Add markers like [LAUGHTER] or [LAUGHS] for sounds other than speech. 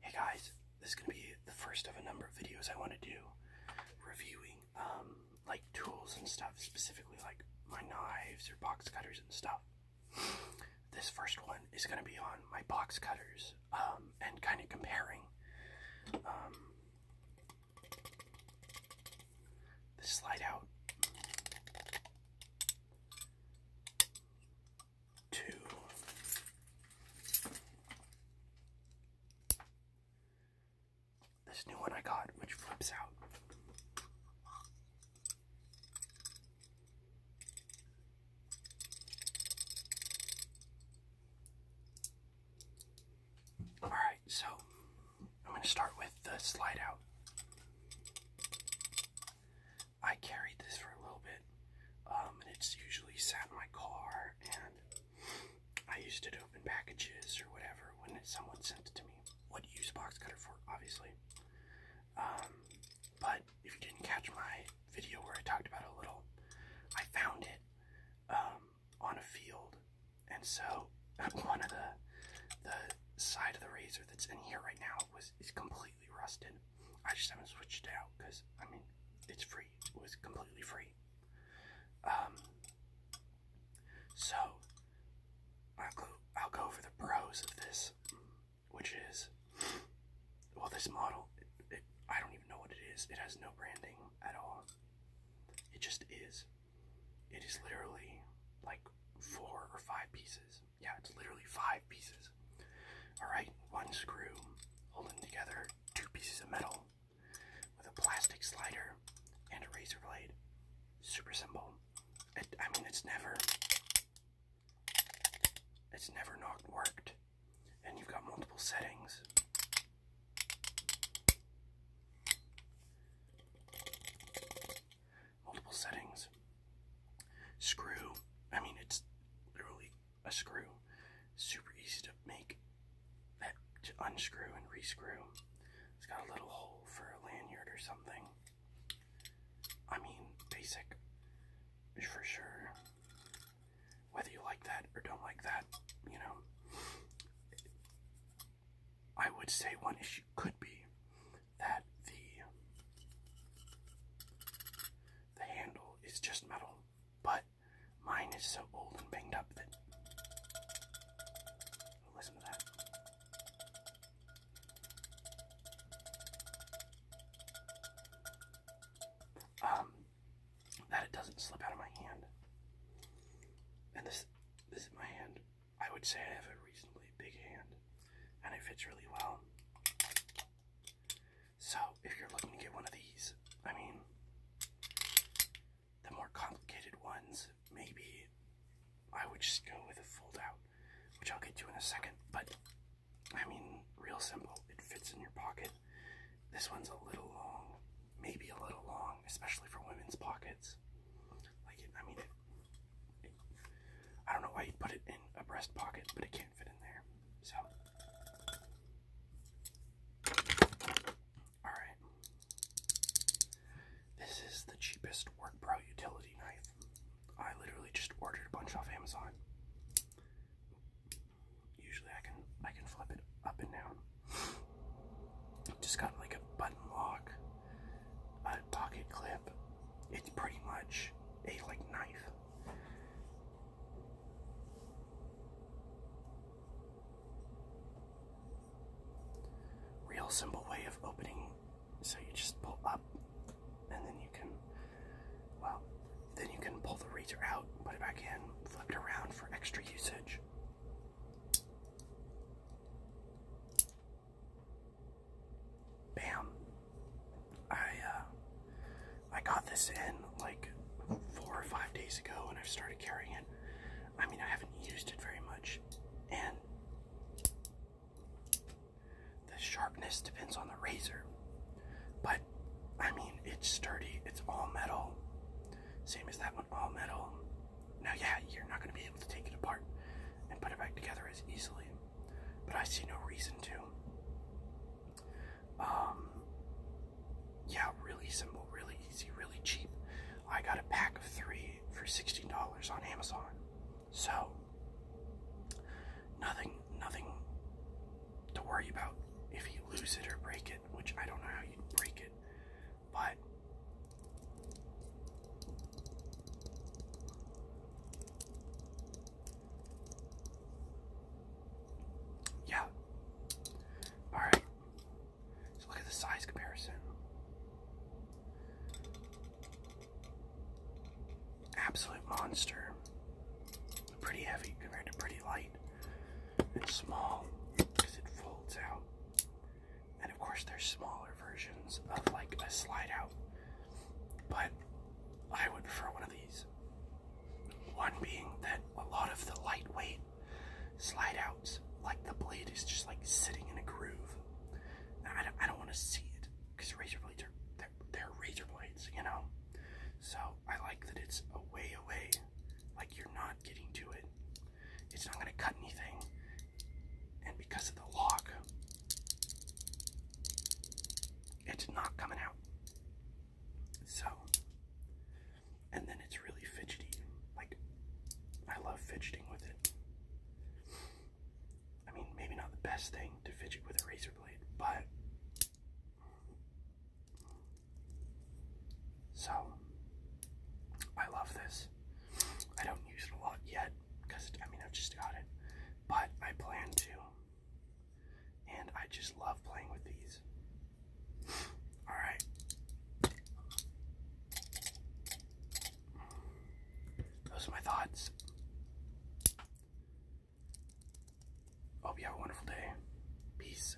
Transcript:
Hey guys, this is going to be the first of a number of videos I want to do reviewing um, like tools and stuff, specifically like my knives or box cutters and stuff. This first one is going to be on my box cutters um, and kind of comparing. Um, the slide out two, this new one I got, which flips out. All right, so I'm going to start with the slide out. I carried this for a little bit, um, and it's usually sat in my car, and I used it to open packages or whatever when someone sent it to me. What use box cutter for, obviously. Um, but if you didn't catch my video where I talked about a little, I found it um, on a field, and so [LAUGHS] one of the the side of the razor that's in here right now was is completely rusted. I just haven't switched it out because I mean it's free. It was completely free. Um, so I'll go. I'll go over the pros of this, which is well, this model. I don't even know what it is. It has no branding at all. It just is. It is literally like four or five pieces yeah, it's literally five pieces. Alright, one screw holding together two pieces of metal with a plastic slider and a razor blade. Super simple. I mean, it's never. It's never not worked. And you've got multiple settings multiple settings. Screw, I mean, it's literally a screw. Super easy to make that unscrew and rescrew. It's got a little hole for a lanyard or something. I mean, basic for sure. Whether you like that or don't like that, you know. I would say one issue could be that the the handle is just metal, but mine is so old and banged up that listen to that. Um, that it doesn't slip out of my hand. And this, this is my hand. I would say I have a reasonably big hand and it fits really well. So, if you're looking to get one of these, I mean, the more complicated ones, maybe I would just go with a fold out, which I'll get to in a second. But, I mean, real simple. It fits in your pocket. This one's a little long, maybe a little long, especially for women's pockets. Like, it, I mean, I don't know why you put it in a breast pocket, but it can't fit in there. So, all right. This is the cheapest WorkPro utility knife. I literally just ordered a bunch off Amazon. Usually I can I can flip it up and down. Just got like a button lock a pocket clip. It's pretty much a like knife. Real simple way of opening. So you just pull up, and then you can, well, then you can pull the razor out, put it back in, flip it around for extra usage. Bam. I uh, I got this in like four or five days ago and I've started carrying it. I mean I haven't used it very much and the sharpness depends on the razor. But I mean it's sturdy, it's all metal. Same as that one, all metal. Now, yeah, you're not going to be able to take it apart and put it back together as easily, but I see no reason to. Um, yeah, really simple, really easy, really cheap. I got a pack of three for sixty dollars on Amazon. So, nothing, nothing to worry about if you lose it or break it, which I don't know how you'd break it but yeah. All right. look at the size comparison. Absolute monster. Pretty heavy compared to pretty light. It's small because it folds out. And of course, there's smaller versions of like a slide out. But I would prefer one of these. One being that a lot of the lightweight slide outs, like the blade is just like sitting in a groove. I don't, I don't want to see it because razor blades they're, they're razor blades, you know. So I like that it's away away, like you're not getting to it. It's not going to cut anything. And because of the lock, it's not coming out. So, and then it's really fidgety. Like, I love fidgeting with it. I mean, maybe not the best thing to fidget with a razor blade, but so, I love this. I don't use it a lot yet because I mean I've just got it, but I plan to. And I just love playing with these. All right. Those are my thoughts. Hope you have a wonderful day. Peace.